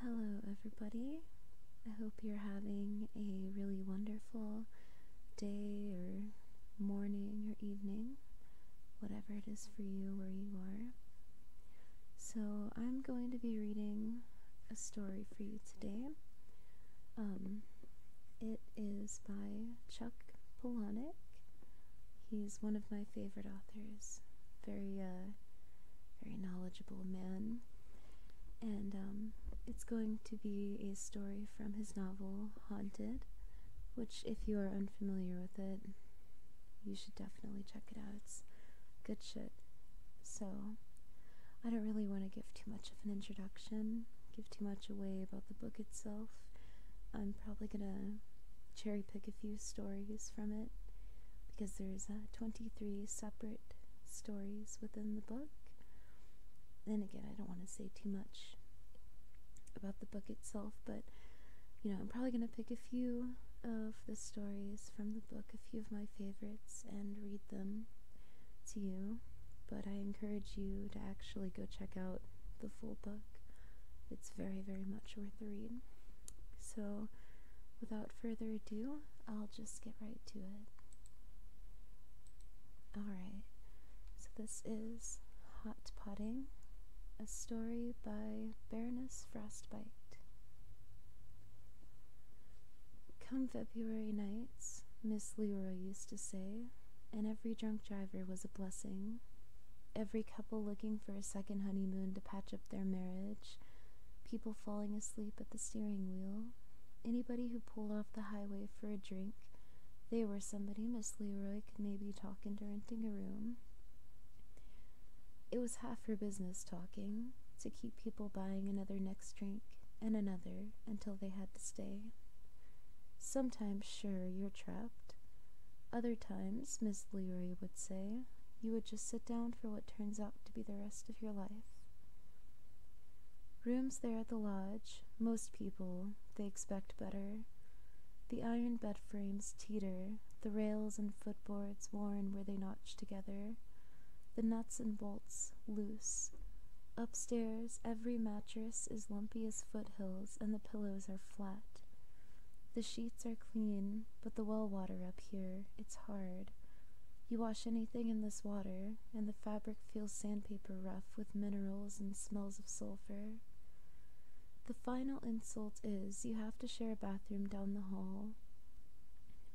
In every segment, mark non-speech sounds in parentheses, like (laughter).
Hello, everybody. I hope you're having a really wonderful day, or morning, or evening, whatever it is for you where you are. So, I'm going to be reading a story for you today. Um, it is by Chuck Palahniuk. He's one of my favorite authors. Very uh, very knowledgeable man. And um, it's going to be a story from his novel Haunted, which, if you are unfamiliar with it, you should definitely check it out. It's good shit. So, I don't really want to give too much of an introduction, give too much away about the book itself. I'm probably gonna cherry pick a few stories from it because there's uh, 23 separate stories within the book. Then again, I don't want to say too much about the book itself, but you know, I'm probably going to pick a few of the stories from the book, a few of my favorites, and read them to you. But I encourage you to actually go check out the full book. It's very, very much worth the read. So, without further ado, I'll just get right to it. Alright, so this is Hot Potting, a story by Baroness Frostbite. Come February nights, Miss Leroy used to say, and every drunk driver was a blessing. Every couple looking for a second honeymoon to patch up their marriage people falling asleep at the steering wheel, anybody who pulled off the highway for a drink. They were somebody Miss Leroy could maybe talk into renting a room. It was half her business talking, to keep people buying another next drink and another until they had to stay. Sometimes, sure, you're trapped, other times, Miss Leary would say, you would just sit down for what turns out to be the rest of your life. Rooms there at the lodge, most people, they expect better. The iron bed frames teeter, the rails and footboards worn where they notch together, the nuts and bolts loose. Upstairs, every mattress is lumpy as foothills, and the pillows are flat. The sheets are clean, but the well water up here, it's hard. You wash anything in this water, and the fabric feels sandpaper rough with minerals and smells of sulfur. The final insult is you have to share a bathroom down the hall.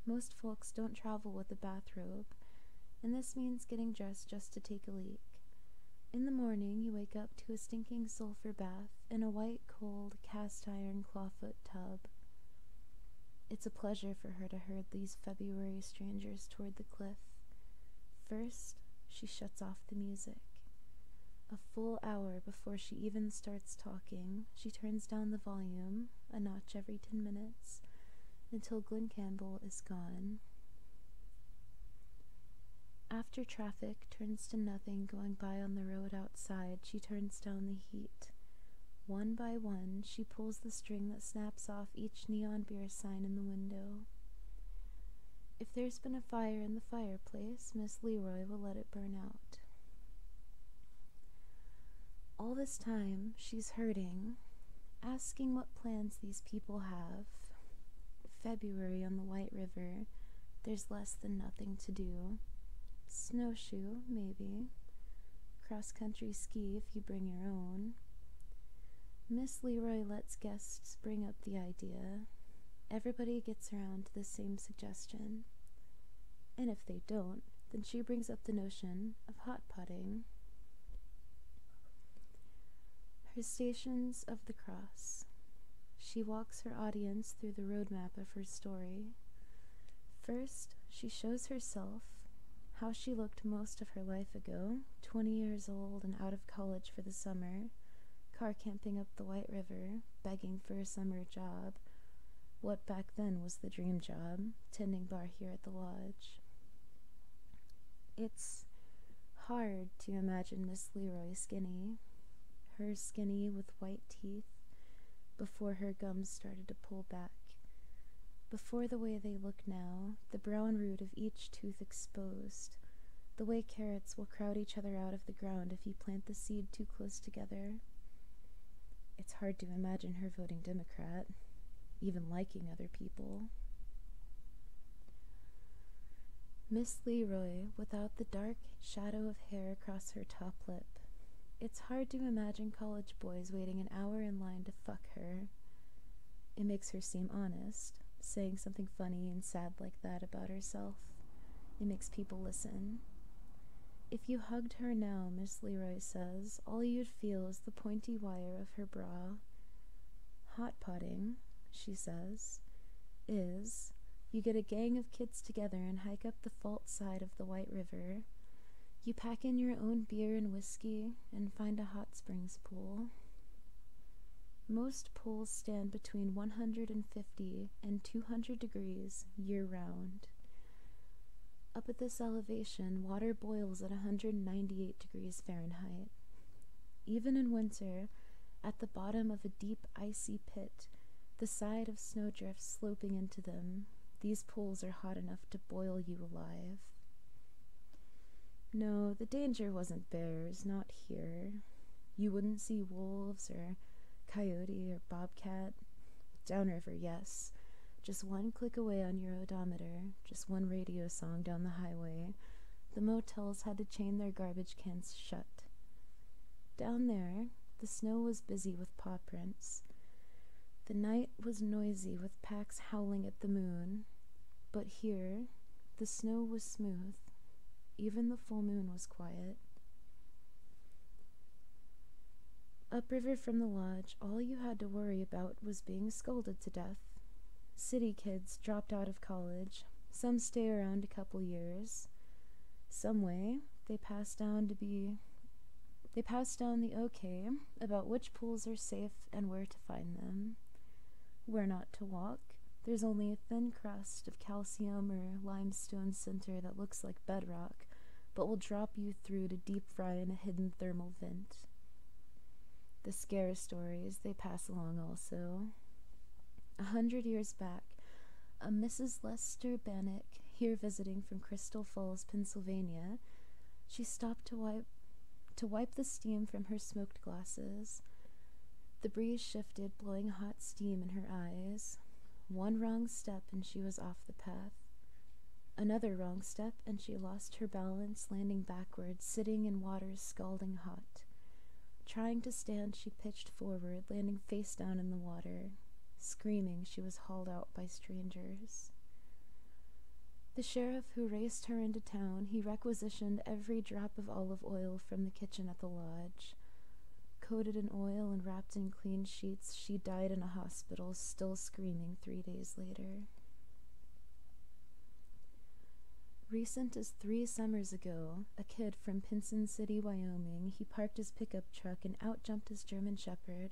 Most folks don't travel with a bathrobe, and this means getting dressed just to take a leak. In the morning, you wake up to a stinking sulfur bath and a white, cold, cast iron clawfoot tub. It's a pleasure for her to herd these February strangers toward the cliff. First, she shuts off the music. A full hour before she even starts talking, she turns down the volume, a notch every ten minutes, until Glen Campbell is gone. After traffic turns to nothing going by on the road outside, she turns down the heat. One by one, she pulls the string that snaps off each neon beer sign in the window. If there's been a fire in the fireplace, Miss Leroy will let it burn out. All this time, she's hurting, asking what plans these people have. February on the White River, there's less than nothing to do. Snowshoe, maybe. Cross country ski if you bring your own. Miss Leroy lets guests bring up the idea. Everybody gets around to the same suggestion. And if they don't, then she brings up the notion of hot potting. Her Stations of the Cross. She walks her audience through the roadmap of her story. First, she shows herself, how she looked most of her life ago, 20 years old and out of college for the summer, car camping up the White River, begging for a summer job, what back then was the dream job, tending bar here at the lodge. It's hard to imagine this Leroy Skinny, her skinny with white teeth, before her gums started to pull back. Before the way they look now, the brown root of each tooth exposed, the way carrots will crowd each other out of the ground if you plant the seed too close together. It's hard to imagine her voting Democrat, even liking other people. Miss Leroy without the dark shadow of hair across her top lip. It's hard to imagine college boys waiting an hour in line to fuck her. It makes her seem honest, saying something funny and sad like that about herself. It makes people listen. If you hugged her now, Miss Leroy says, all you'd feel is the pointy wire of her bra. Hot potting, she says, is you get a gang of kids together and hike up the fault side of the White River. You pack in your own beer and whiskey and find a hot springs pool. Most pools stand between 150 and 200 degrees year round. Up at this elevation, water boils at 198 degrees Fahrenheit. Even in winter, at the bottom of a deep icy pit, the side of snowdrifts sloping into them. These pools are hot enough to boil you alive. No, the danger wasn't bears, not here. You wouldn't see wolves or coyote or bobcat. Downriver, yes. Just one click away on your odometer, just one radio song down the highway. The motels had to chain their garbage cans shut. Down there, the snow was busy with paw prints. The night was noisy with packs howling at the moon. But here, the snow was smooth. Even the full moon was quiet. Upriver from the lodge, all you had to worry about was being scolded to death. City kids dropped out of college. Some stay around a couple years. Some way, they pass down to be they pass down the okay about which pools are safe and where to find them, where not to walk. There's only a thin crust of calcium or limestone center that looks like bedrock, but will drop you through to deep fry in a hidden thermal vent. The scare stories they pass along also, a hundred years back, a Mrs. Lester Bannock, here visiting from Crystal Falls, Pennsylvania, she stopped to wipe to wipe the steam from her smoked glasses. The breeze shifted, blowing hot steam in her eyes. One wrong step and she was off the path. Another wrong step and she lost her balance, landing backwards, sitting in water scalding hot. Trying to stand, she pitched forward, landing face down in the water. Screaming, she was hauled out by strangers. The sheriff who raced her into town, he requisitioned every drop of olive oil from the kitchen at the lodge. Coated in oil and wrapped in clean sheets, she died in a hospital, still screaming three days later. Recent as three summers ago, a kid from Pinson City, Wyoming, he parked his pickup truck and out jumped his German Shepherd.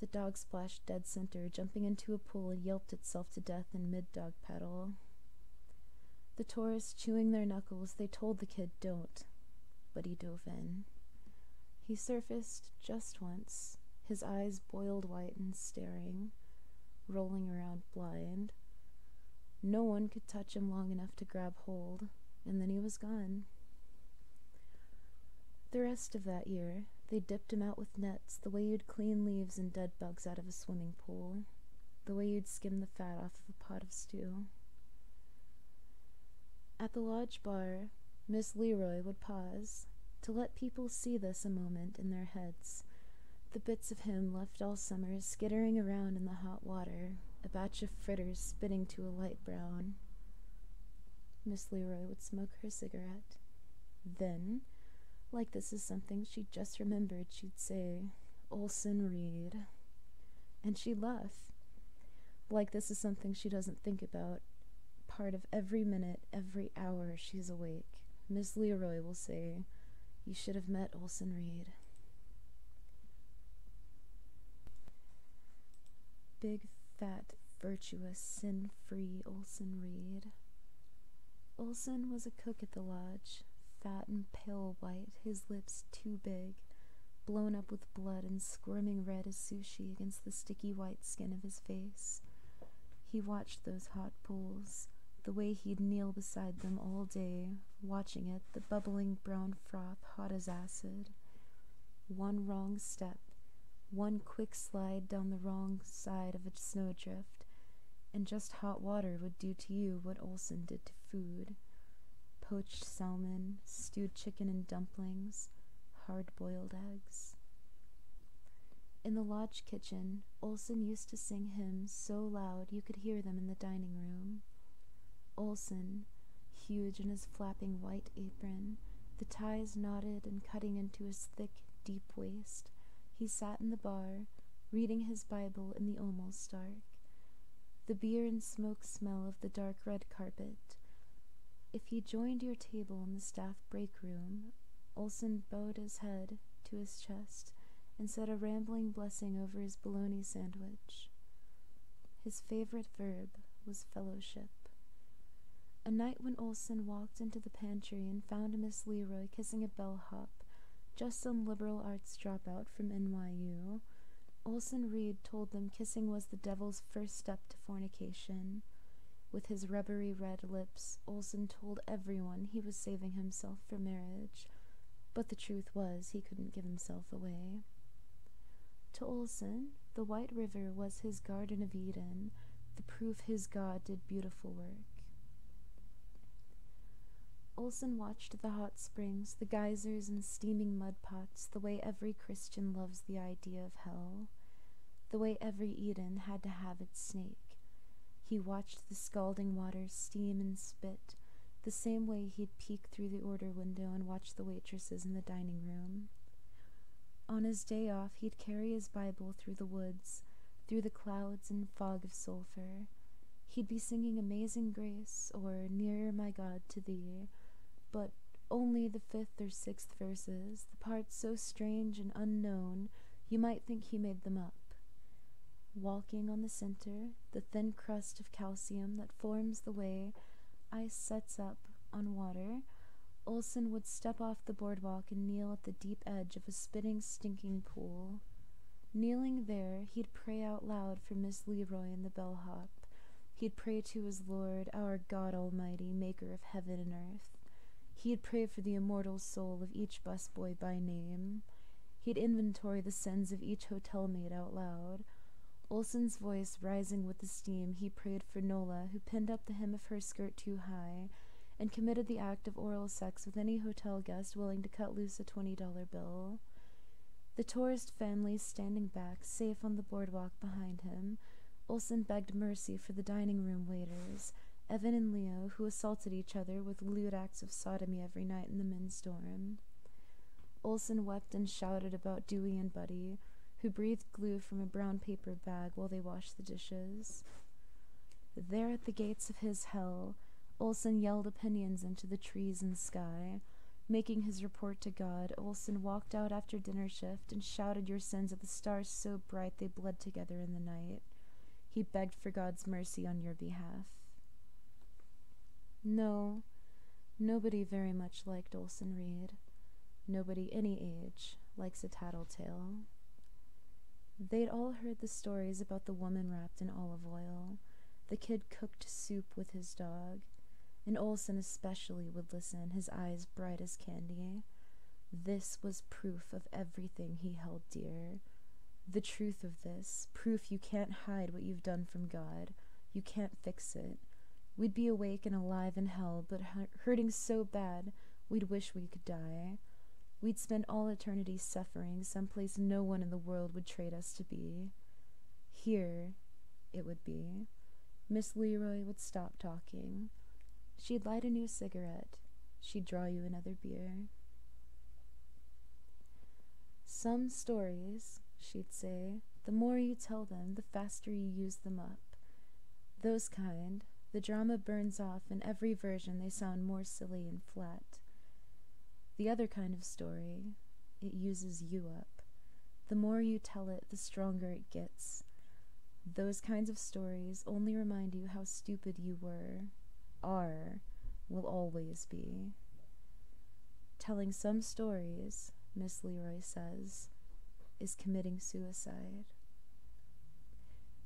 The dog splashed dead center, jumping into a pool and yelped itself to death in mid dog paddle. The tourists chewing their knuckles, they told the kid don't, but he dove in. He surfaced just once, his eyes boiled white and staring, rolling around blind. No one could touch him long enough to grab hold, and then he was gone. The rest of that year, they dipped him out with nets the way you'd clean leaves and dead bugs out of a swimming pool, the way you'd skim the fat off of a pot of stew. At the lodge bar, Miss Leroy would pause to let people see this a moment in their heads the bits of him left all summer skittering around in the hot water, a batch of fritters spitting to a light brown. Miss Leroy would smoke her cigarette. Then, like this is something she just remembered, she'd say, Olson Reed. And she'd laugh. Like this is something she doesn't think about. Part of every minute, every hour she's awake, Miss Leroy will say, You should have met Olson Reed. Big, fat, virtuous, sin free Olson Reed. Olson was a cook at the lodge, fat and pale white, his lips too big, blown up with blood and squirming red as sushi against the sticky white skin of his face. He watched those hot pools, the way he'd kneel beside them all day, watching it, the bubbling brown froth hot as acid. One wrong step, one quick slide down the wrong side of a snowdrift, and just hot water would do to you what Olson did to food poached salmon, stewed chicken and dumplings, hard boiled eggs. In the lodge kitchen, Olson used to sing hymns so loud you could hear them in the dining room. Olson, huge in his flapping white apron, the ties knotted and cutting into his thick, deep waist, he sat in the bar, reading his Bible in the almost dark. The beer and smoke smell of the dark red carpet. If he joined your table in the staff break room, Olson bowed his head to his chest and said a rambling blessing over his bologna sandwich. His favorite verb was fellowship. A night when Olson walked into the pantry and found Miss Leroy kissing a bellhop, just some liberal arts dropout from NYU, Olson Reed told them kissing was the devil's first step to fornication. With his rubbery red lips, Olson told everyone he was saving himself for marriage but the truth was he couldn't give himself away. To Olson, the White River was his Garden of Eden, the proof his God did beautiful work. Olson watched the hot springs, the geysers and steaming mud pots, the way every Christian loves the idea of hell, the way every Eden had to have its snake, he watched the scalding water steam and spit, the same way he'd peek through the order window and watch the waitresses in the dining room. On his day off, he'd carry his Bible through the woods, through the clouds and fog of sulphur. He'd be singing Amazing Grace or Nearer My God to Thee, but only the fifth or sixth verses, the parts so strange and unknown you might think he made them up. Walking on the center, the thin crust of calcium that forms the way ice sets up on water, Olson would step off the boardwalk and kneel at the deep edge of a spitting, stinking pool. Kneeling there, he'd pray out loud for Miss Leroy and the bellhop. He'd pray to his Lord, our God Almighty, maker of heaven and earth. He had prayed for the immortal soul of each busboy by name. He'd inventory the sins of each hotel maid out loud. Olson's voice rising with the steam, he prayed for Nola, who pinned up the hem of her skirt too high, and committed the act of oral sex with any hotel guest willing to cut loose a twenty dollar bill. The tourist families standing back, safe on the boardwalk behind him, Olson begged mercy for the dining room waiters, Evan and Leo, who assaulted each other with lewd acts of sodomy every night in the men's dorm. Olson wept and shouted about Dewey and Buddy, who breathed glue from a brown paper bag while they washed the dishes. There at the gates of his hell, Olson yelled opinions into the trees and sky. Making his report to God, Olson walked out after dinner shift and shouted your sins at the stars so bright they bled together in the night. He begged for God's mercy on your behalf. No, nobody very much liked Olson Reed. Nobody any age likes a tattletale. They'd all heard the stories about the woman wrapped in olive oil, the kid cooked soup with his dog, and Olson especially would listen, his eyes bright as candy. This was proof of everything he held dear, the truth of this, proof you can't hide what you've done from God, you can't fix it. We'd be awake and alive in hell, but hurting so bad we'd wish we could die. We'd spend all eternity suffering someplace no one in the world would trade us to be. Here, it would be. Miss Leroy would stop talking. She'd light a new cigarette she'd draw you another beer. Some stories, she'd say, the more you tell them, the faster you use them up. Those kind, the drama burns off in every version, they sound more silly and flat. The other kind of story, it uses you up. The more you tell it, the stronger it gets. Those kinds of stories only remind you how stupid you were, are, will always be. Telling some stories, Miss Leroy says, is committing suicide.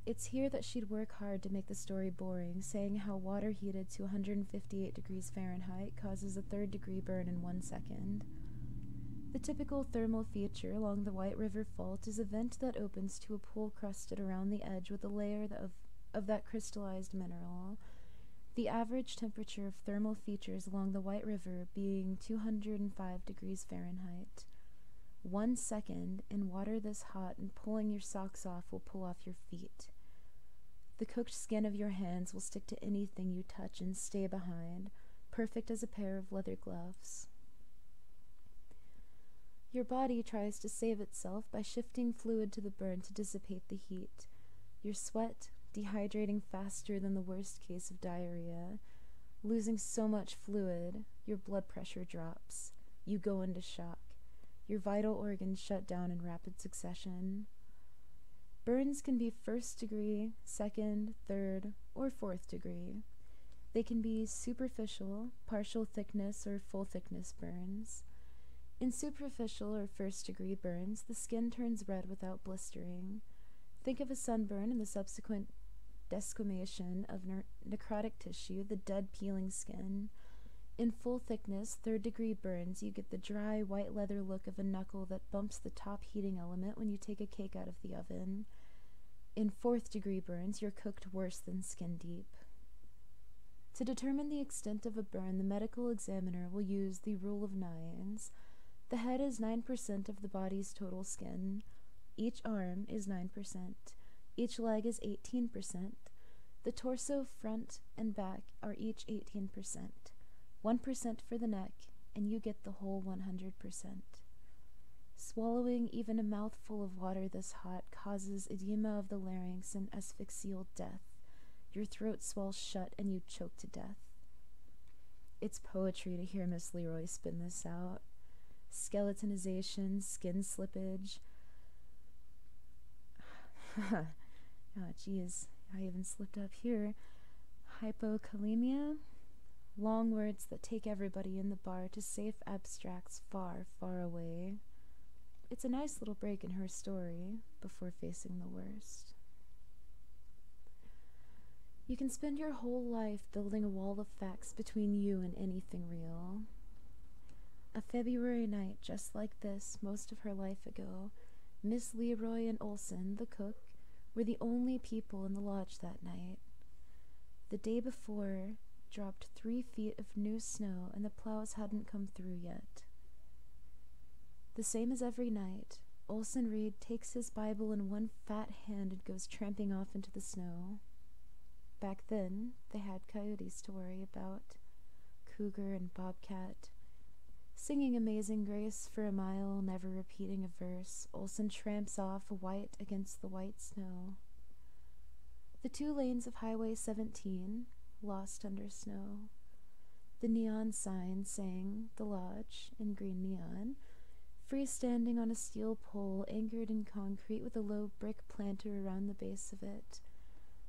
It's here that she'd work hard to make the story boring, saying how water heated to 158 degrees Fahrenheit causes a third degree burn in one second. The typical thermal feature along the White River Fault is a vent that opens to a pool crusted around the edge with a layer of, of that crystallized mineral. The average temperature of thermal features along the White River being 205 degrees Fahrenheit. One second in water this hot and pulling your socks off will pull off your feet. The cooked skin of your hands will stick to anything you touch and stay behind, perfect as a pair of leather gloves. Your body tries to save itself by shifting fluid to the burn to dissipate the heat. Your sweat, dehydrating faster than the worst case of diarrhea, losing so much fluid, your blood pressure drops. You go into shock. Your vital organs shut down in rapid succession. Burns can be first degree, second, third, or fourth degree. They can be superficial, partial thickness, or full thickness burns. In superficial or first degree burns, the skin turns red without blistering. Think of a sunburn and the subsequent desquamation of necrotic tissue, the dead peeling skin. In full thickness, third degree burns, you get the dry, white leather look of a knuckle that bumps the top heating element when you take a cake out of the oven. In fourth degree burns, you're cooked worse than skin deep. To determine the extent of a burn, the medical examiner will use the rule of nines. The head is 9% of the body's total skin, each arm is 9%, each leg is 18%, the torso, front, and back are each 18%, 1% for the neck, and you get the whole 100%. Swallowing even a mouthful of water this hot causes edema of the larynx and asphyxial death. Your throat swells shut and you choke to death. It's poetry to hear Miss Leroy spin this out. Skeletonization, skin slippage. oh, (laughs) geez, I even slipped up here. Hypokalemia, Long words that take everybody in the bar to safe abstracts far, far away. It's a nice little break in her story before facing the worst. You can spend your whole life building a wall of facts between you and anything real. A February night just like this, most of her life ago, Miss Leroy and Olson, the cook, were the only people in the lodge that night. The day before dropped three feet of new snow, and the plows hadn't come through yet. The same as every night, Olson Reed takes his Bible in one fat hand and goes tramping off into the snow. Back then, they had coyotes to worry about, cougar and bobcat. Singing Amazing Grace for a mile, never repeating a verse, Olson tramps off white against the white snow. The two lanes of Highway 17, lost under snow. The neon sign saying The Lodge in green neon, freestanding on a steel pole anchored in concrete with a low brick planter around the base of it.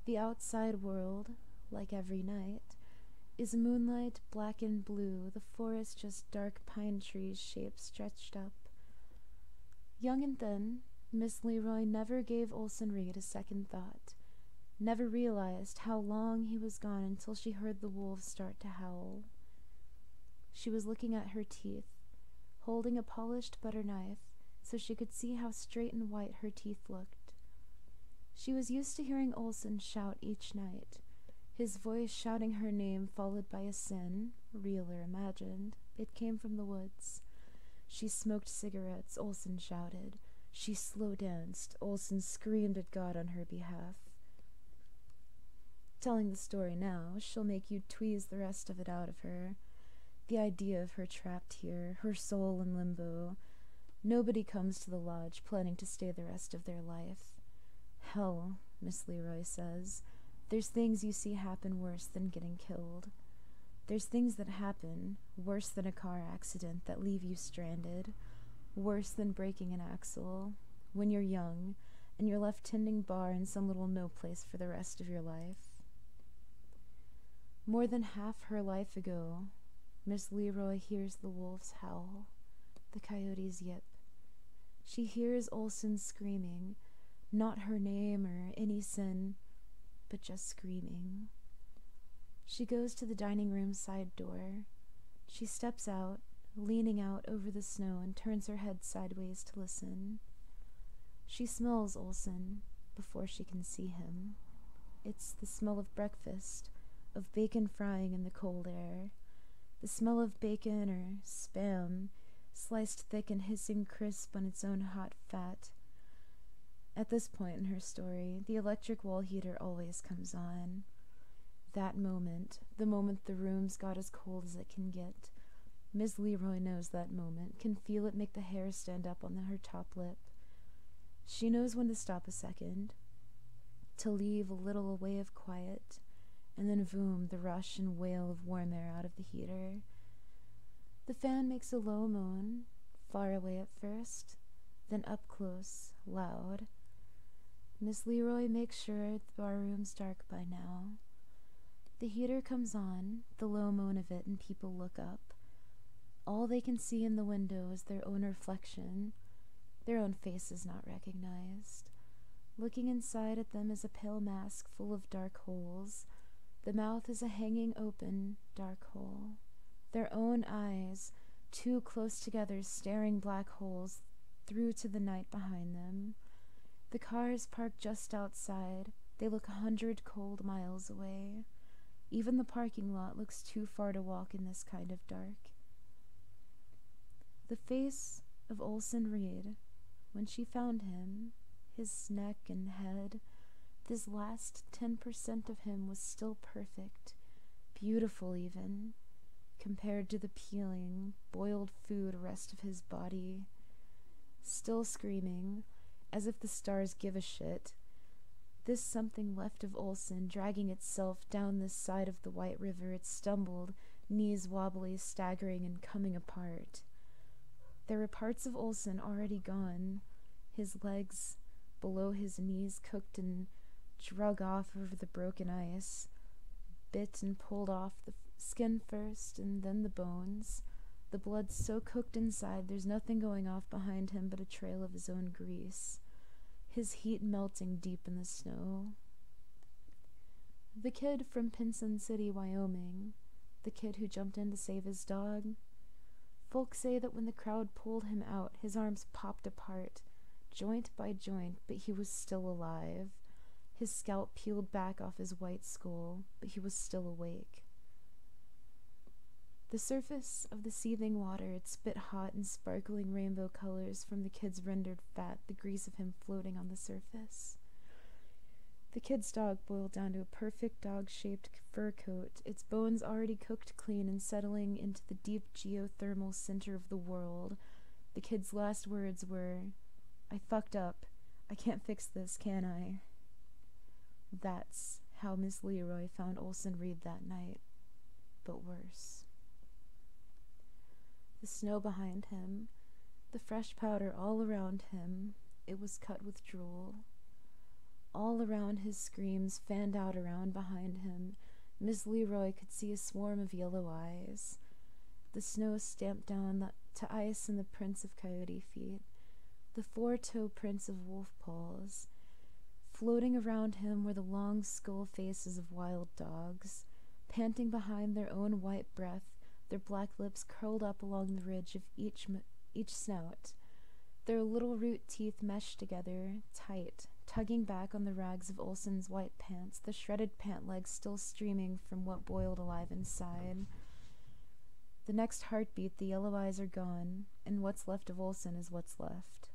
The outside world, like every night, is moonlight black and blue, the forest just dark pine trees' shapes stretched up, Young and thin, Miss Leroy never gave Olson Reed a second thought, never realized how long he was gone until she heard the wolves start to howl. She was looking at her teeth, holding a polished butter knife so she could see how straight and white her teeth looked. She was used to hearing Olson shout each night, his voice shouting her name followed by a sin, real or imagined, it came from the woods. She smoked cigarettes, Olson shouted. She slow danced, Olson screamed at God on her behalf. Telling the story now, she'll make you tweeze the rest of it out of her. The idea of her trapped here, her soul in limbo. Nobody comes to the lodge planning to stay the rest of their life. Hell, Miss Leroy says. There's things you see happen worse than getting killed. There's things that happen worse than a car accident that leave you stranded, worse than breaking an axle, when you're young and you're left tending bar in some little no place for the rest of your life. More than half her life ago, Miss Leroy hears the wolves howl, the coyotes yip. She hears Olson screaming, not her name or any sin, but just screaming. She goes to the dining room side door. She steps out, leaning out over the snow, and turns her head sideways to listen. She smells Olson before she can see him. It's the smell of breakfast, of bacon frying in the cold air, the smell of bacon or spam sliced thick and hissing crisp on its own hot fat. At this point in her story, the electric wall heater always comes on. That moment, the moment the room's got as cold as it can get, Miss Leroy knows that moment, can feel it make the hair stand up on her top lip. She knows when to stop a second, to leave a little way of quiet, and then voom the rush and wail of warm air out of the heater. The fan makes a low moan, far away at first, then up close, loud. Miss Leroy makes sure the barroom's dark by now. The heater comes on, the low moan of it, and people look up. All they can see in the window is their own reflection. Their own faces not recognized. Looking inside at them is a pale mask full of dark holes. The mouth is a hanging open, dark hole. Their own eyes, two close together, staring black holes through to the night behind them. The cars parked just outside. They look a hundred cold miles away. Even the parking lot looks too far to walk in this kind of dark. The face of Olson Reed, when she found him, his neck and head, this last 10% of him was still perfect, beautiful even, compared to the peeling, boiled food rest of his body. Still screaming, as if the stars give a shit, this something left of Olson dragging itself down this side of the White River it stumbled knees wobbly, staggering, and coming apart. There were parts of Olson already gone, his legs below his knees cooked and drug off over the broken ice, bit and pulled off the skin first and then the bones. The blood so cooked inside, there's nothing going off behind him but a trail of his own grease. His heat melting deep in the snow. The kid from Pinson City, Wyoming, the kid who jumped in to save his dog. Folks say that when the crowd pulled him out, his arms popped apart, joint by joint, but he was still alive. His scalp peeled back off his white skull, but he was still awake. The surface of the seething water had spit hot and sparkling rainbow colors from the kid's rendered fat, the grease of him floating on the surface. The kid's dog boiled down to a perfect dog shaped fur coat, its bones already cooked clean and settling into the deep geothermal center of the world. The kid's last words were, I fucked up. I can't fix this, can I? That's how Miss Leroy found Olson Reed that night, but worse. The snow behind him, the fresh powder all around him, it was cut with drool. All around his screams fanned out around behind him, Miss Leroy could see a swarm of yellow eyes. The snow stamped down to ice in the prints of coyote feet, the four toe prints of wolf paws. Floating around him were the long skull faces of wild dogs, panting behind their own white breath, their black lips curled up along the ridge of each, each snout, their little root teeth meshed together, tight, tugging back on the rags of Olson's white pants, the shredded pant legs still streaming from what boiled alive inside. The next heartbeat, the yellow eyes are gone, and what's left of Olson is what's left.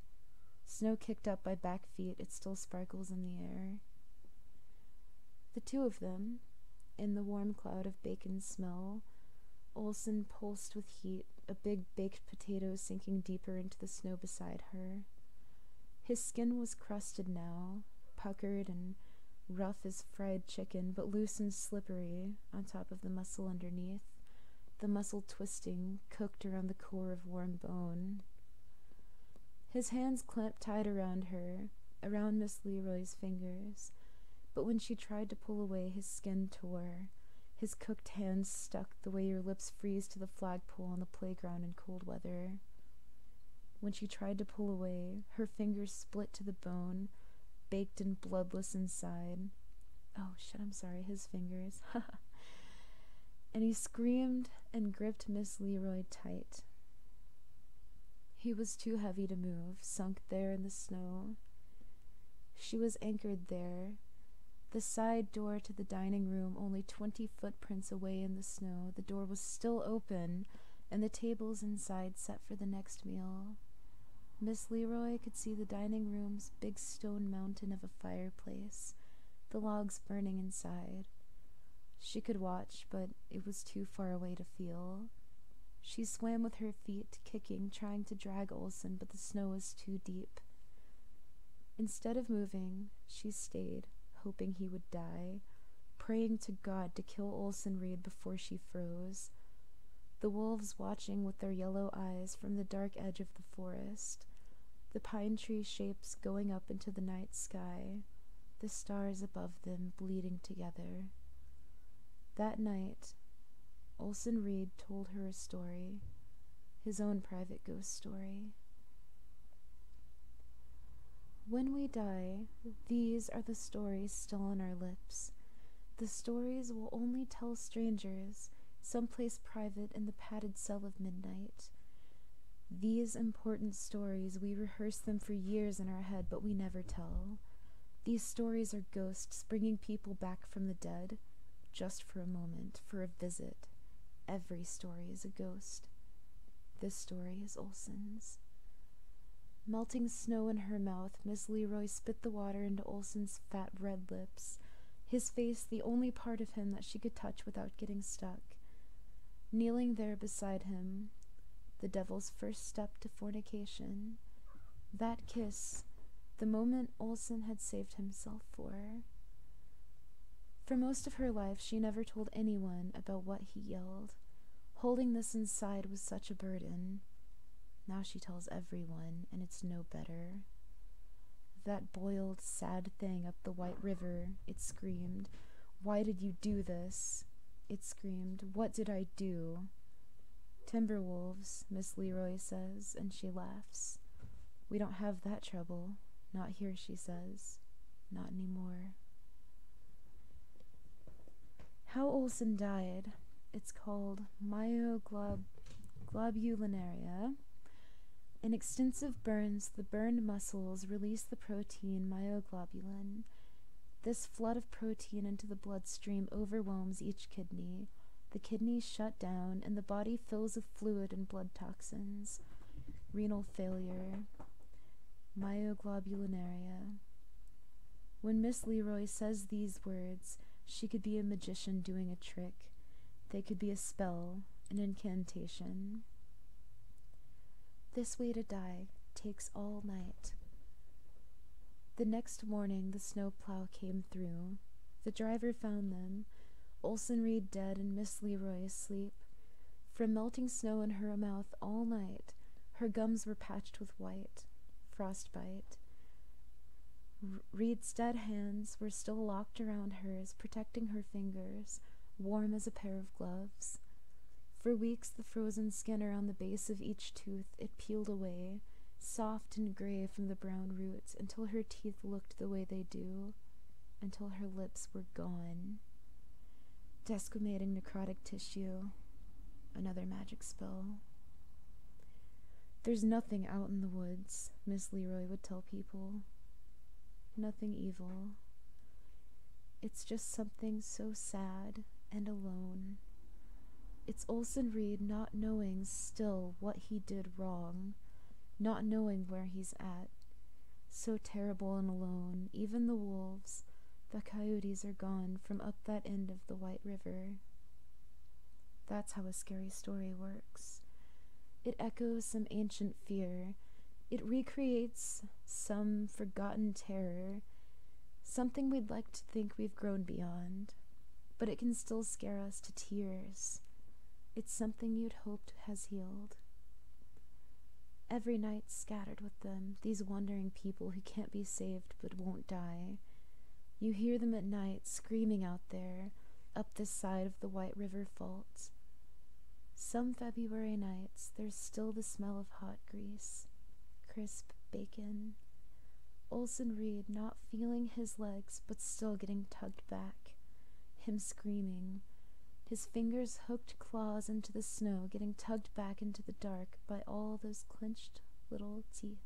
Snow kicked up by back feet, it still sparkles in the air. The two of them, in the warm cloud of bacon smell, Olson pulsed with heat, a big baked potato sinking deeper into the snow beside her. His skin was crusted now, puckered and rough as fried chicken, but loose and slippery on top of the muscle underneath, the muscle twisting, cooked around the core of warm bone, his hands clamped tight around her, around Miss Leroy's fingers, but when she tried to pull away, his skin tore. His cooked hands stuck the way your lips freeze to the flagpole on the playground in cold weather. When she tried to pull away, her fingers split to the bone, baked and bloodless inside. Oh, shut. I'm sorry, his fingers. (laughs) and he screamed and gripped Miss Leroy tight. He was too heavy to move, sunk there in the snow. She was anchored there, the side door to the dining room only twenty footprints away in the snow. The door was still open, and the tables inside set for the next meal. Miss Leroy could see the dining room's big stone mountain of a fireplace the logs burning inside. She could watch, but it was too far away to feel. She swam with her feet, kicking, trying to drag Olson, but the snow was too deep. Instead of moving, she stayed, hoping he would die, praying to God to kill Olson Reed before she froze. The wolves watching with their yellow eyes from the dark edge of the forest, the pine tree shapes going up into the night sky, the stars above them bleeding together. That night, Olson Reed told her a story, his own private ghost story. When we die, these are the stories still on our lips. The stories will only tell strangers, someplace private in the padded cell of midnight. These important stories, we rehearse them for years in our head, but we never tell. These stories are ghosts bringing people back from the dead, just for a moment, for a visit. Every story is a ghost. This story is Olson's. Melting snow in her mouth, Miss Leroy spit the water into Olson's fat red lips his face the only part of him that she could touch without getting stuck. Kneeling there beside him, the devil's first step to fornication, that kiss, the moment Olson had saved himself for. For most of her life, she never told anyone about what he yelled. Holding this inside was such a burden. Now she tells everyone, and it's no better. That boiled, sad thing up the white river, it screamed. Why did you do this? It screamed. What did I do? Timberwolves, Miss Leroy says, and she laughs. We don't have that trouble. Not here, she says. Not anymore. How Olson died. It's called myoglobulinaria. In extensive burns, the burned muscles release the protein myoglobin. This flood of protein into the bloodstream overwhelms each kidney. The kidneys shut down, and the body fills with fluid and blood toxins. Renal failure. myoglobinuria. When Miss Leroy says these words, she could be a magician doing a trick. They could be a spell, an incantation. This way to die takes all night. The next morning, the snowplow came through. The driver found them, Olson Reed dead and Miss Leroy asleep. From melting snow in her mouth all night, her gums were patched with white, frostbite. Reed's dead hands were still locked around hers, protecting her fingers, warm as a pair of gloves. For weeks, the frozen skin around the base of each tooth it peeled away, soft and gray from the brown roots, until her teeth looked the way they do, until her lips were gone. Desquamating necrotic tissue, another magic spell. There's nothing out in the woods, Miss Leroy would tell people nothing evil. It's just something so sad and alone. It's Olson Reed not knowing still what he did wrong, not knowing where he's at. So terrible and alone, even the wolves, the coyotes are gone from up that end of the White River. That's how a scary story works. It echoes some ancient fear. It recreates some forgotten terror, something we'd like to think we've grown beyond, but it can still scare us to tears. It's something you'd hoped has healed. Every night scattered with them, these wandering people who can't be saved but won't die. You hear them at night screaming out there, this side of the White River Fault. Some February nights, there's still the smell of hot grease, crisp bacon. Olson Reed not feeling his legs but still getting tugged back, him screaming, his fingers hooked claws into the snow, getting tugged back into the dark by all those clenched little teeth.